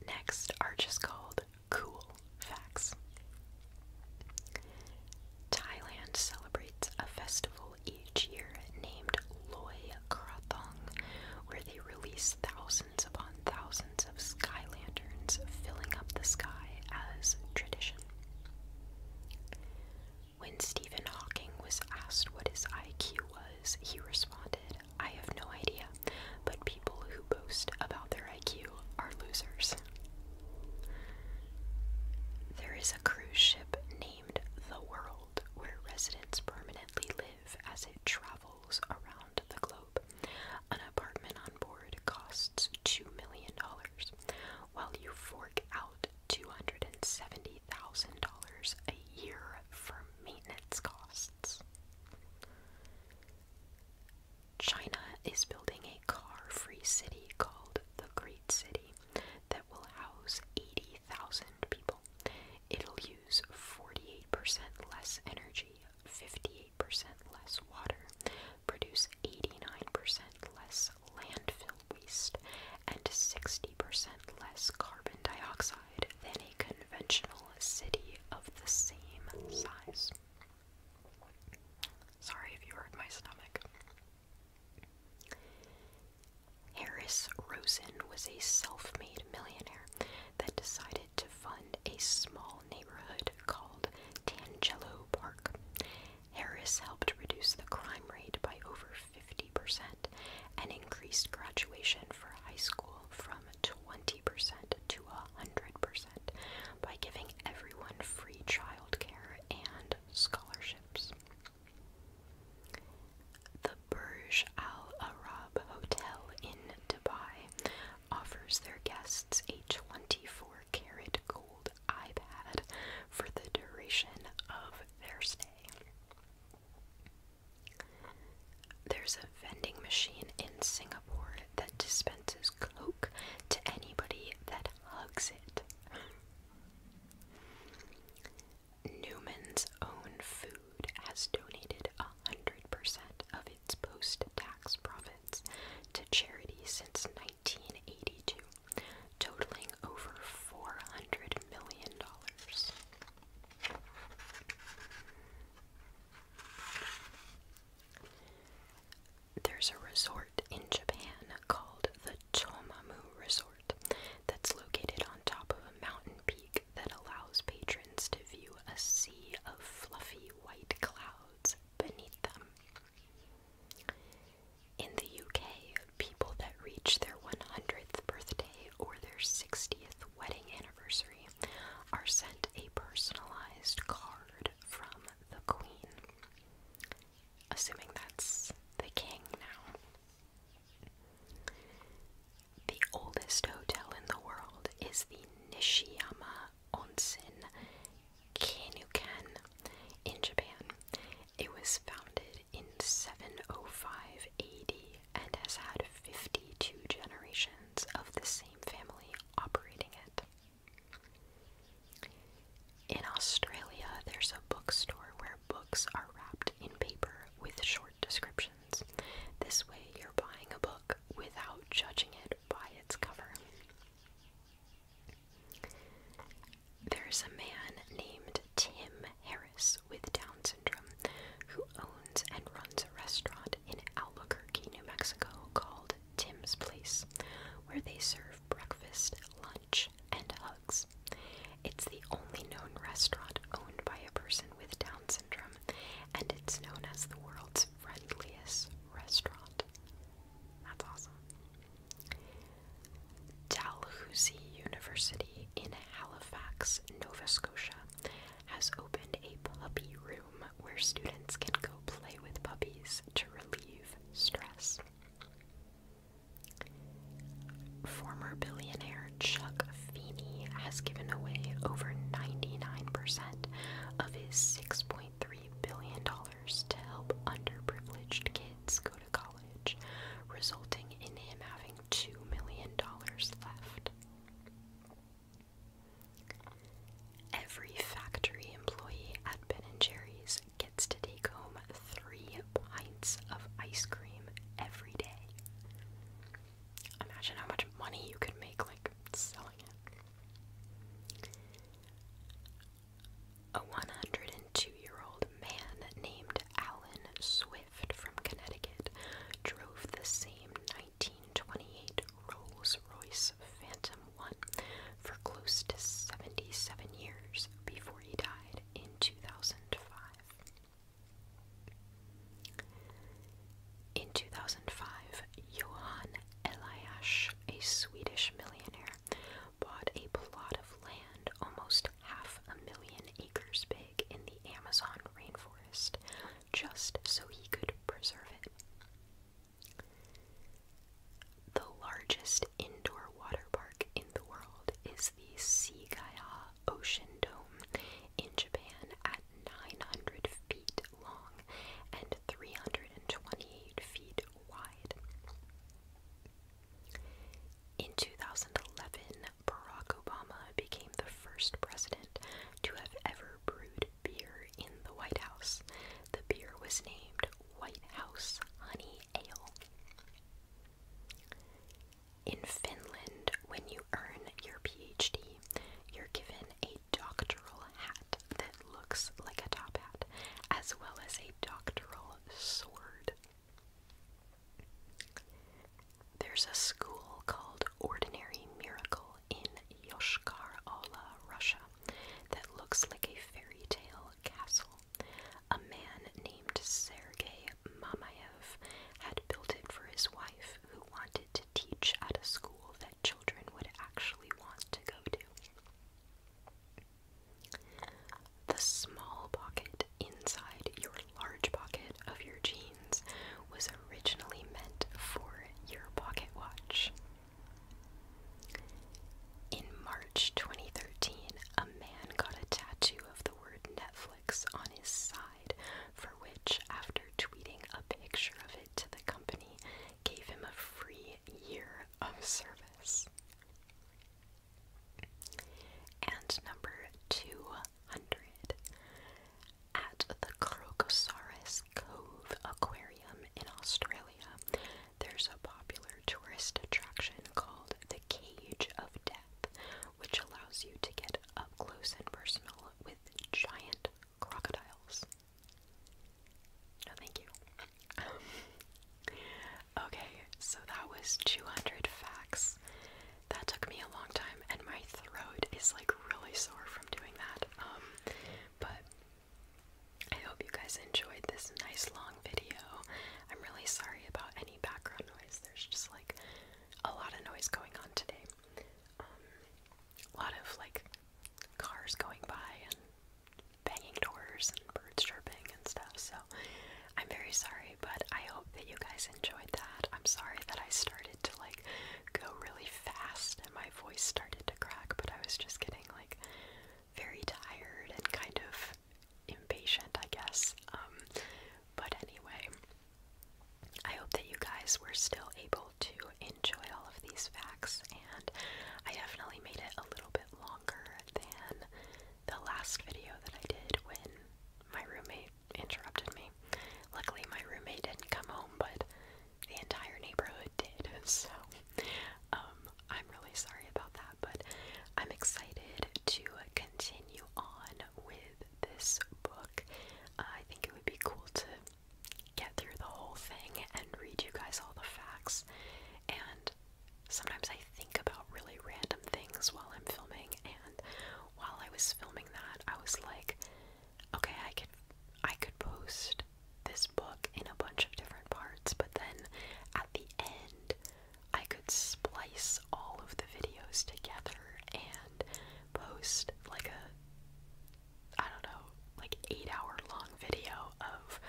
Next are just called cool facts. Thailand celebrates a festival each year named Loi Krathong, where they release thousands upon thousands of sky lanterns, filling up the sky as tradition. When Stephen Hawking was asked what his IQ was he responded, I have no idea, but people who boast about their IQ are losers. There is a cruise ship named The World where residents permanently live as it travels around the globe. An apartment on board costs $2 million, while you fork out $270 $30,000 a year for maintenance costs. China is building a car free city called the Great City that will house 80,000 people. It'll use 48% less energy, 58% less water, produce 89% less landfill waste, and 60% less carbon dioxide than a conventional city of the same size. Sorry if you hurt my stomach. Harris Rosen was a self made millionaire that decided to fund a small neighborhood called Tangelo Park. Harris helped reduce the crime rate by over 50%, and increased graduation for high school from 20% to 100% by giving everyone free childcare and scholarships. The Burj Al Arab Hotel in Dubai offers their guests a 24 karat gold iPad for the duration of their stay. There's a vending machine in Singapore that dispenses Coke to anybody that hugs it. Newman's Own Food has donated 100% of its post tax profits to charity since 1982, totaling over $400 million. There's a resort in Japan called the Chomamu Resort that's located on top of a mountain peak that allows patrons to view a sea of fluffy white clouds beneath them. In the UK, people that reach their 100th birthday or their 60th wedding anniversary are sent a personalized card from the Queen. Assuming that's the King now. The oldest hotel in the world is the Nishiyama Onsen Kanuken in Japan. It was founded in 705 AD and has had 52 generations of the same family operating it. In Australia, there's a bookstore where books are wrapped in paper with short descriptions. This way, you're buying a book without judging it by its cover. There's a man named Tim Harris with Down syndrome who owns and runs a restaurant in Albuquerque, New Mexico called Tim's Place, where they serve breakfast, lunch, and hugs. It's the only known restaurant owned by a person with Down syndrome, and it's known as the world's friendliest restaurant. That's awesome. Dalhousie University in Halifax, Nova Scotia has opened a puppy room where students can go play with puppies to relieve stress. Former billionaire Chuck Feeney has given away over 99% of his $6.3 billion to help underprivileged kids go to college, resulting in him having $2 million left. Every factory employee at Ben and Jerry's gets to take home three pints of ice cream every day. Imagine how much money you could make like selling it. A 102 year old man named Alan Swig from Connecticut, drove the same 1928 Rolls Royce Phantom One for close to 77 years before he died in 2005. In 2005, Johan Elias, a Swedish millionaire, bought a plot of land almost half a million acres big in the Amazon rainforest just so he could preserve it. The largest indoor water park in the world is the Seagaya Ocean Dome in Japan at 900 feet long and 328 feet wide. In 2011, Barack Obama became the first president to have ever brewed beer in the White House. The beer was named White House Honey Ale. In Finland, when you earn your PhD, you're given a doctoral hat that looks like a top hat, as well as a doctoral sword. There's a school called Ordinary Miracle in Yoshkar Ola, Russia, that looks like a fairy tale castle. A man named Sergei Mamayev had built it for his wife, who wanted to teach at a school that children would actually want to go to. The small pocket inside your large pocket of your jeans was originally meant for your pocket watch. In March 2013, a man got a tattoo of the word Netflix on his side, for which, after tweeting a picture of it to the company, gave him a free year of service. And number two, hundred at the Crocosaurus Cove Aquarium in Australia. There's a popular tourist attraction called the Cage of Death, which allows you to get up close and personal with giant crocodiles. No, thank you. [laughs] okay, so that was 200 facts that took me a long time, and my throat is like really sore from doing that. Um, but I hope you guys enjoyed this nice long video. I'm really sorry about any background noise. There's just like a lot of noise going on today. Um, a lot of like cars going by and banging doors and birds chirping and stuff. So I'm very sorry, but I hope that you guys enjoyed that. I'm sorry that I started to like go really fast and my voice started to crack, but I was just getting like very tired and kind of impatient, I guess. Um, but anyway, I hope that you guys were still able to enjoy all of these facts, and I definitely made it a little bit longer than the last video that I did when my roommate interrupted me. Luckily, my roommate didn't come home, but the entire neighborhood did. [laughs] So, um, I'm really sorry about that, but I'm excited to continue on with this book. Uh, I think it would be cool to get through the whole thing and read you guys all the facts. And sometimes I think about really random things while I'm filming, and while I was filming that, I was like, okay, I could I could post this book in a bunch of different parts, but then at the end I could splice all of the videos together and post like a I don't know, like 8 hour long video of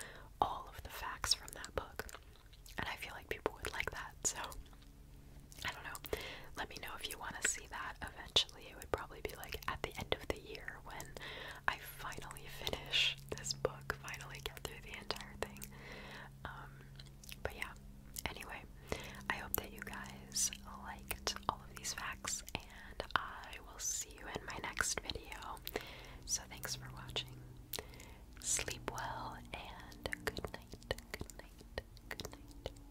all of the facts from that book. And I feel like people would like that. So I don't know. Let me know if you want to see that eventually. It would probably be like at the end of the year when I finally finish this book, finally get through the entire thing. Um, but yeah, anyway, I hope that you guys liked all of these facts, and I will see you in my next video. So thanks for watching. Sleep well, and good night, good night, good night.